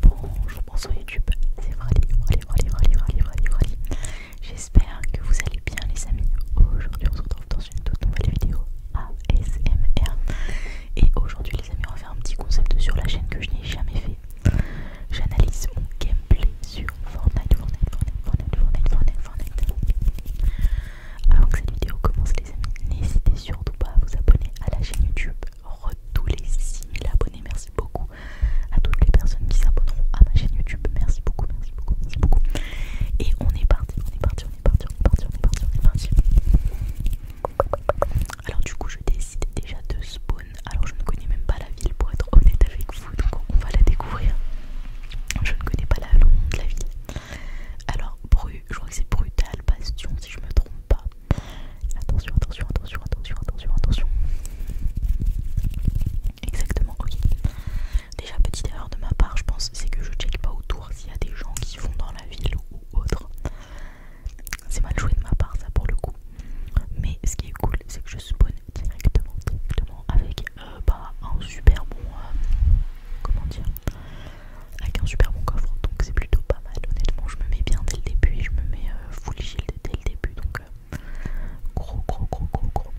Bonjour, bonsoir YouTube, c'est Frali, J'espère que vous allez bien les amis. Aujourd'hui on se retrouve dans une toute nouvelle vidéo ASMR. Et aujourd'hui les amis on va faire un petit concept sur la chaîne que je n'ai jamais fait. J'analyse mon gameplay sur Fortnite, Fortnite, Fortnite, Fortnite, Fortnite, Fortnite. Avant que cette vidéo commence les amis, n'hésitez surtout pas à vous abonner à la chaîne YouTube, re tous les 6000 abonnés. Merci beaucoup à toutes les personnes qui s'abonneront à ma chaîne YouTube. Merci beaucoup, merci beaucoup, merci beaucoup. Et on est parti, on est parti, on est parti, on est parti, on est parti, Alors du coup, je décide déjà de spawn. Alors je ne connais même pas la ville pour être honnête avec vous, donc on va la découvrir. Je ne connais pas la, la ville. Alors, Bru, je crois que c'est Brutal Bastion si je me trompe pas. Attention, attention, attention, attention, attention, attention. Exactement, ok. Déjà, petite erreur de ma part, je pense, c'est que je check pas autour s'il y a des gens qui font dans la ville ou autre. C'est mal joué de ma part, ça pour le coup. Mais ce qui est cool, c'est que je spawn directement, directement avec euh, bah, un super bon. Euh, comment dire avec un super bon coffre donc c'est plutôt pas mal honnêtement je me mets bien dès le début et je me mets euh, full shield dès le début donc euh, gros gros gros gros gros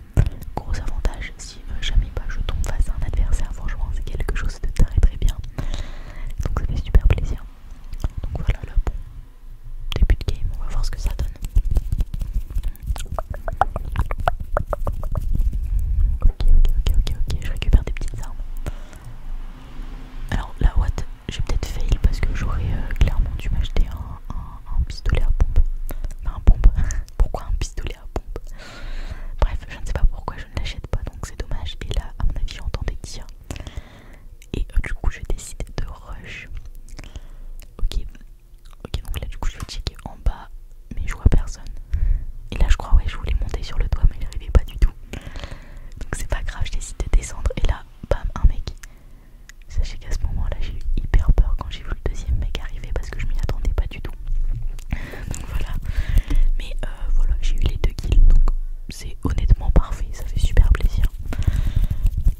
gros avantage si euh, jamais pas je tombe face à un adversaire franchement c'est quelque chose de très très bien donc ça fait super plaisir donc voilà le bon début de game on va voir ce que ça donne Ok ok ok ok ok je récupère des petites armes alors la what j'ai peut-être fail parce que j'aurais euh, clairement dû m'acheter un, pistolet à pompe. un pompe. pourquoi un pistolet à pompe Bref, je ne sais pas pourquoi je ne l'achète pas, donc c'est dommage. Et là, à mon avis, j'entendais des Et euh, du coup, je décide de rush. Ok, ok, donc là, du coup, je vais checker en bas, mais je vois personne. Et là, je crois, ouais, je voulais monter sur le toit, mais n'arrivait pas du tout. Donc c'est pas grave, je décide de descendre et là, bam, un mec. Sachez qu'à ce moment-là, j'ai eu hyper peur quand j'ai vu le deuxième mec arriver parce que je m'y attendais pas du tout. Donc voilà. Mais euh, voilà, j'ai eu les deux kills, donc c'est honnêtement parfait, ça fait super plaisir.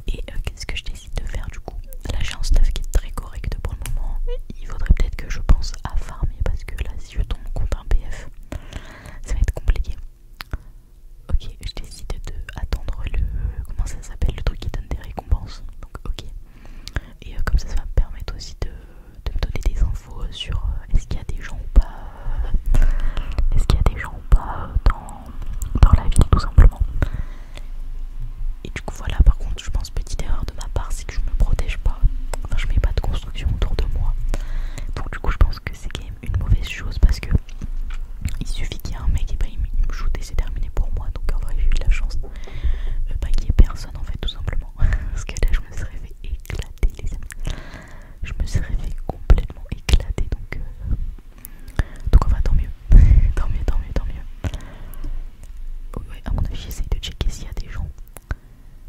Et euh, qu'est-ce que je décide de faire du coup Là, j'ai un qui est très correct pour le moment. Il faudrait peut-être que je pense à farmer parce que là, si je tombe contre un PF, ça va être compliqué. Ok, je décide attendre le. Comment ça s'appelle Le truc qui donne des récompenses. Donc, ok. Et euh, comme ça, ça va me permettre aussi de, me donner des infos sur euh, est-ce qu'il y a des gens ou pas. Euh, est-ce qu'il y a des gens ou pas dans, dans la ville, tout simplement. Et du coup, voilà, par contre, je pense, petite erreur de ma part, c'est que je me protège pas. Enfin, je mets pas de construction autour de moi. Donc, du coup, je pense que c'est quand une mauvaise chose parce que il suffit qu'il y ait un mec et bah, il me shoot et c'est terminé pour moi. Donc en vrai j'ai eu de la chance ne pas qu'il y ait personne en fait tout simplement. parce que là je me serais fait éclater les amis. Je me serais fait complètement éclater donc... donc euh, Donc enfin tant mieux. tant mieux, tant mieux, tant mieux. Ouais, à mon avis j'essaye de checker s'il y a des gens.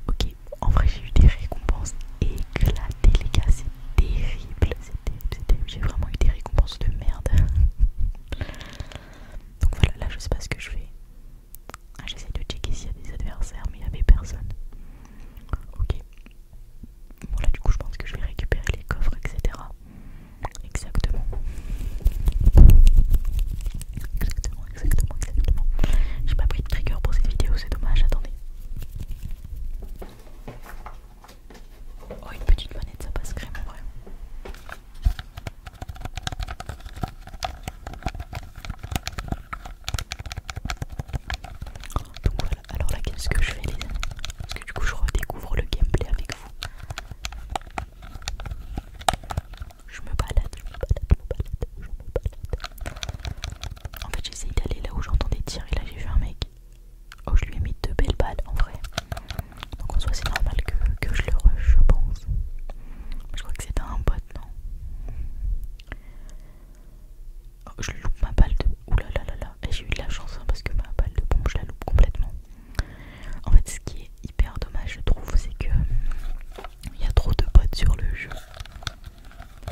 Ok, en vrai, j'ai eu des récompenses éclatées, les gars. C'est terrible. J'ai vraiment eu des récompenses de merde. Donc voilà, là, je sais pas ce que je fais. Ah, j'essaie de checker s'il y a des adversaires, mais il n'y avait personne. Ok. Bon, là, du coup, je pense que je vais récupérer les coffres, etc. Exactement. Exactement, exactement, exactement. J'ai pas pris de trigger pour cette vidéo, c'est dommage. Attendez. Oh, une petite manette, ça passe crème en vrai. Donc voilà, alors là qu'est-ce que je fais les amis Parce que du coup je redécouvre le gameplay avec vous. Je me balade, je me balade, je me balade, je me balade. En fait, j'ai d'aller là où j'entendais tirer. Là, j'ai vu un mec. Oh, je lui ai mis deux belles balles en vrai. Donc, en soit c'est normal que, je le rush, je pense. Je crois que c'était un bot, non oh, Je loupe ma balle de. Ouh là là là là. Eh, j'ai eu de la chance hein, parce que ma balle de bombe je la loupe complètement. En fait, ce qui est hyper dommage, je trouve, c'est que. Il y a trop de bots sur le jeu.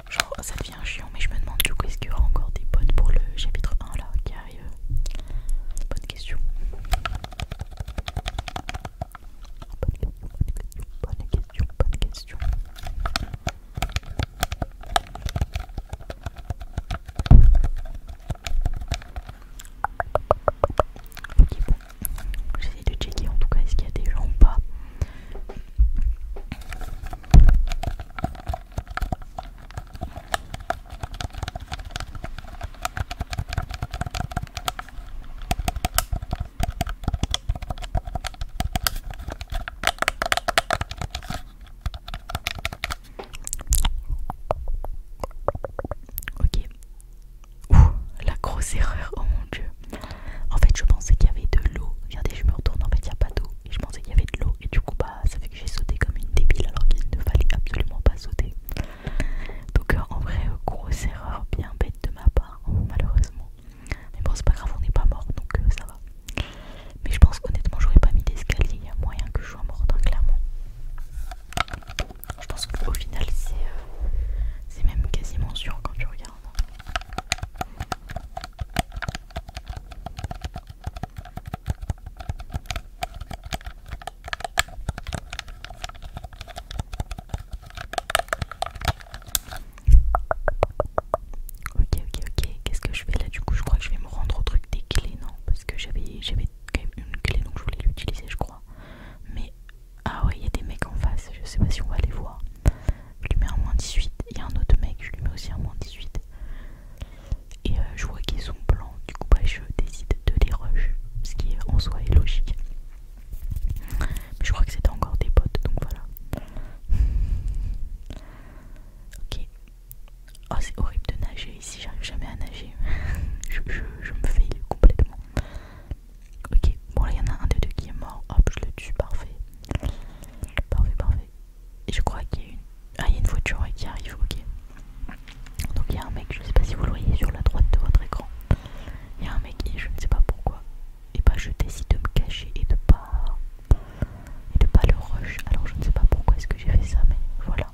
Genre, ça devient chiant, mais je me demande du coup, est-ce qu'il y aura encore des bonnes pour le chapitre 1 là qui arrive Bonne question. Bonne question, bonne question. Ok, bon. J'essaie de checker en tout cas, est-ce qu'il y a des gens ou pas Ok. la grosse erreur, oh mon dieu. En fait, je pensais qu'il y avait de l'eau. Regardez, je me retourne, en fait, il n'y a pas d'eau et je pensais qu'il y avait de l'eau et du coup bah ça fait que j'ai sauté comme une débile alors qu'il ne fallait absolument pas sauter. Donc euh, en vrai euh, grosse erreur bien bête de ma part hein, malheureusement. Mais bon c'est pas grave on n'est pas mort donc euh, ça va. Mais je pense qu'honnêtement j'aurais pas mis d'escalier, il y a moyen que je sois morte hein, clairement. Je pense qu'au final c'est même quasiment sûr quand tu regardes. Hein. Ok, ok, ok. Qu'est-ce que je fais là du coup Je crois que je vais me rendre au truc des clés, non Parce que j'avais quand même une clé donc je voulais l'utiliser, je crois. Mais. Ah ouais, il y a des mecs en face. Je sais pas si on va les voir je lui mets un moins 18 a un autre mec je lui mets aussi un moins 18 et euh, je vois qu'ils sont blancs du coup bah, je décide de les rush ce qui euh, en soi est logique mais je crois que c'était encore des potes donc voilà ok oh c'est horrible de nager ici j'arrive jamais à nager je, me fais complètement ok bon là il y en a un des deux qui est mort hop je le tue parfait parfait parfait je crois qu'il y a une. Ah, voiture qui arrive, ok. Donc il y a un mec, je ne sais pas si vous le voyez sur la droite de votre écran. Il y a un mec et je ne sais pas pourquoi. Et eh bah ben, je décide de me cacher et de pas. de pas le rush. Alors je ne sais pas pourquoi est-ce que j'ai fait ça, mais voilà.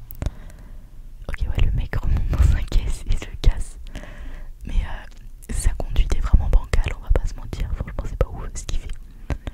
Ok ouais le mec remonte dans sa caisse et se casse. Mais sa euh, conduite est vraiment bancale, on va pas se mentir. Franchement c'est pas ouf ce qu'il fait.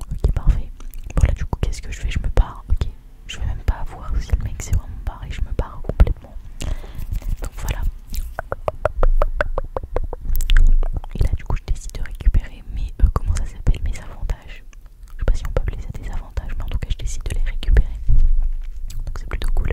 Ok, parfait. Bon, là, du coup, qu'est-ce que je fais Je me barre. Ok, je vais même pas voir si le mec s'est vraiment barré. Je me barre complètement. Donc voilà. Et là, du coup, je décide de récupérer mes. Euh, comment ça s'appelle Mes avantages. Je sais pas si on peut appeler ça des avantages, mais en tout cas, je décide de les récupérer. Donc c'est plutôt cool.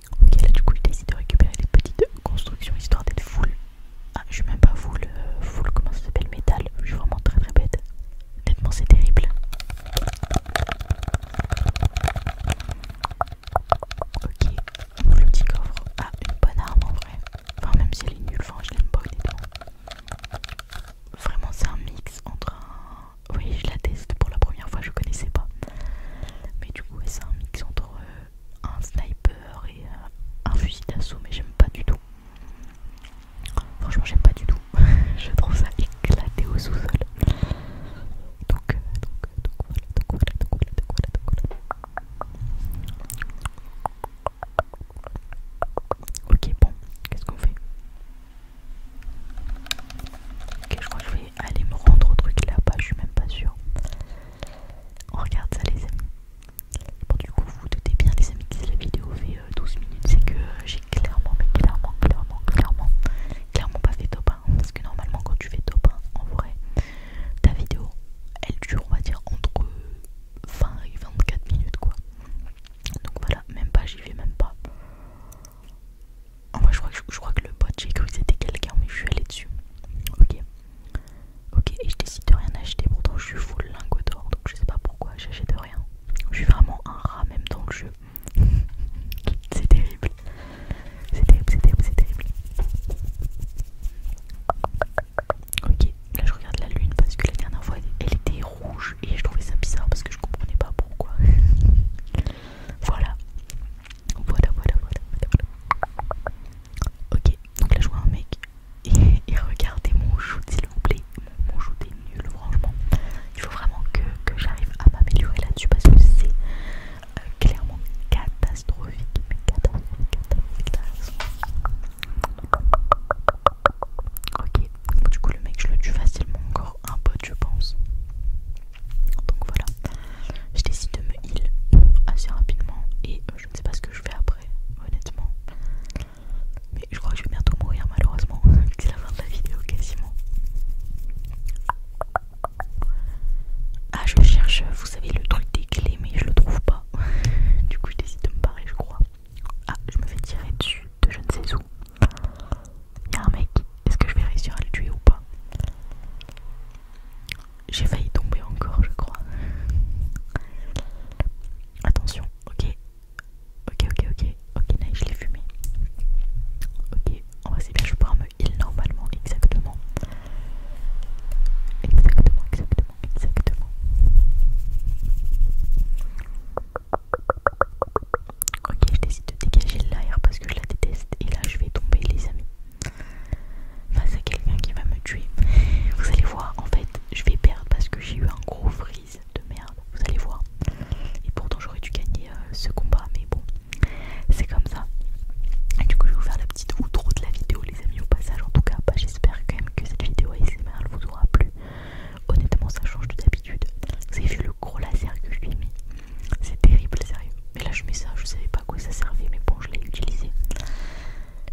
Ok, là du coup, il décide de récupérer les petites constructions histoire d'être full. Ah, je suis même pas full, euh, full, comment ça s'appelle, métal. Je suis vraiment très très bête. Honnêtement, c'est terrible. Ok, le petit coffre. Ah, une bonne arme en vrai. Enfin, même si elle est nulle, je l'aime pas Vraiment, c'est un mix entre un. Oui, je la teste pour la première fois, je connaissais pas. Mais du coup, c'est un mix entre. Euh, un sniper et euh, un fusil d'assaut, mais j'aime pas du tout. Franchement, j'aime pas du tout. je trouve ça éclaté au sous-sol. Donc, euh, euh, donc, voilà, donc voilà, donc voilà, donc donc Ok, bon, qu'est-ce qu'on fait Ok, je crois que je vais aller me rendre au truc là-bas, je suis même pas sûre. On regarde ça les amis. Bon du coup vous, vous doutez bien les amis que si la vidéo fait 12 euh, minutes c'est que euh, j'ai clairement mais clairement clairement clairement clairement pas fait top 1 parce que normalement quand tu fais top 1 en vrai ta vidéo elle dure on va dire entre 20 et 24 minutes quoi. Donc voilà même pas j'y vais même pas. En vrai je crois que, crois que le bot j'ai cru que c'était quelqu'un mais je suis allé dessus. Ok Ok, et je décide de rien acheter, pourtant je suis full lingot d'or, donc je sais pas pourquoi j'achète rien. Je suis vraiment un rat même dans le jeu. c'est terrible. C'est terrible, c'est terrible, c'est terrible. Ok, là je regarde la lune parce que la dernière fois elle était rouge et je trouvais ça bizarre parce que je comprenais pas pourquoi. voilà. Voilà, voilà, voilà, voilà. Ok, donc là je vois un mec et, regardez mon shoot s'il vous plaît. Mon, jeu est nul, franchement. Il faut vraiment que, j'arrive à m'améliorer là-dessus parce que c'est euh, clairement catastrophique. Mais catastrophique, catastrophique, du coup le mec je le tue facilement. Encore un pote, je pense. Donc voilà je décide de me heal assez rapidement et euh, je ne sais pas ce que je fais après, honnêtement. Mais je crois que je vais bientôt mourir malheureusement, c'est la fin de la vidéo quasiment. Ah je cherche, vous savez le truc des clés mais je le trouve pas. du coup je décide de me barrer je crois. Ah je me fais tirer dessus de je ne sais où. Y'a un mec, est-ce que je vais réussir à le tuer ou pas j'ai failli tomber encore, je crois. Attention, ok. Ok, ok, ok. Ok, nice, je l'ai fumé. Ok, on va c'est bien, je vais me heal normalement, exactement. Exactement, exactement, exactement. Ok, je décide de dégager l'air parce que je la déteste et là je vais tomber les amis face à quelqu'un qui va me tuer. Vous allez voir, en fait, je vais perdre parce que j'ai eu un gros freeze de merde. Vous allez voir. Et pourtant, j'aurais dû gagner euh, ce combat, mais bon, c'est comme ça. du coup, je vais vous faire la petite outro de la vidéo, les amis, au passage. En tout cas, bah, j'espère quand même que cette vidéo merdes vous aura plu. Honnêtement, ça change de d'habitude. Vous avez vu le gros laser que je lui ai mis C'est terrible, sérieux. Mais là je mets ça, je savais pas à quoi ça servait, mais bon je l'ai utilisé.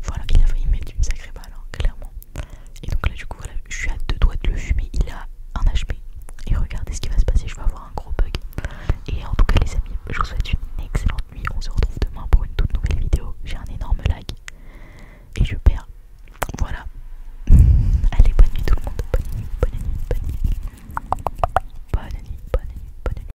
Voilà, il a failli mettre une sacrée balle, hein, clairement. Et donc là du coup voilà, je suis à deux doigts de le fumer, il a un HP. Et regardez ce qui va se passer, je vais avoir un gros bug. Et en tout cas les amis, je vous souhaite une excellente nuit. On se retrouve demain pour une toute nouvelle vidéo. J'ai un énorme lag. Et je perds. Voilà. Allez, bonne nuit tout le monde. Bonne nuit, bonne nuit, bonne nuit. Bonne nuit, bonne nuit, bonne nuit.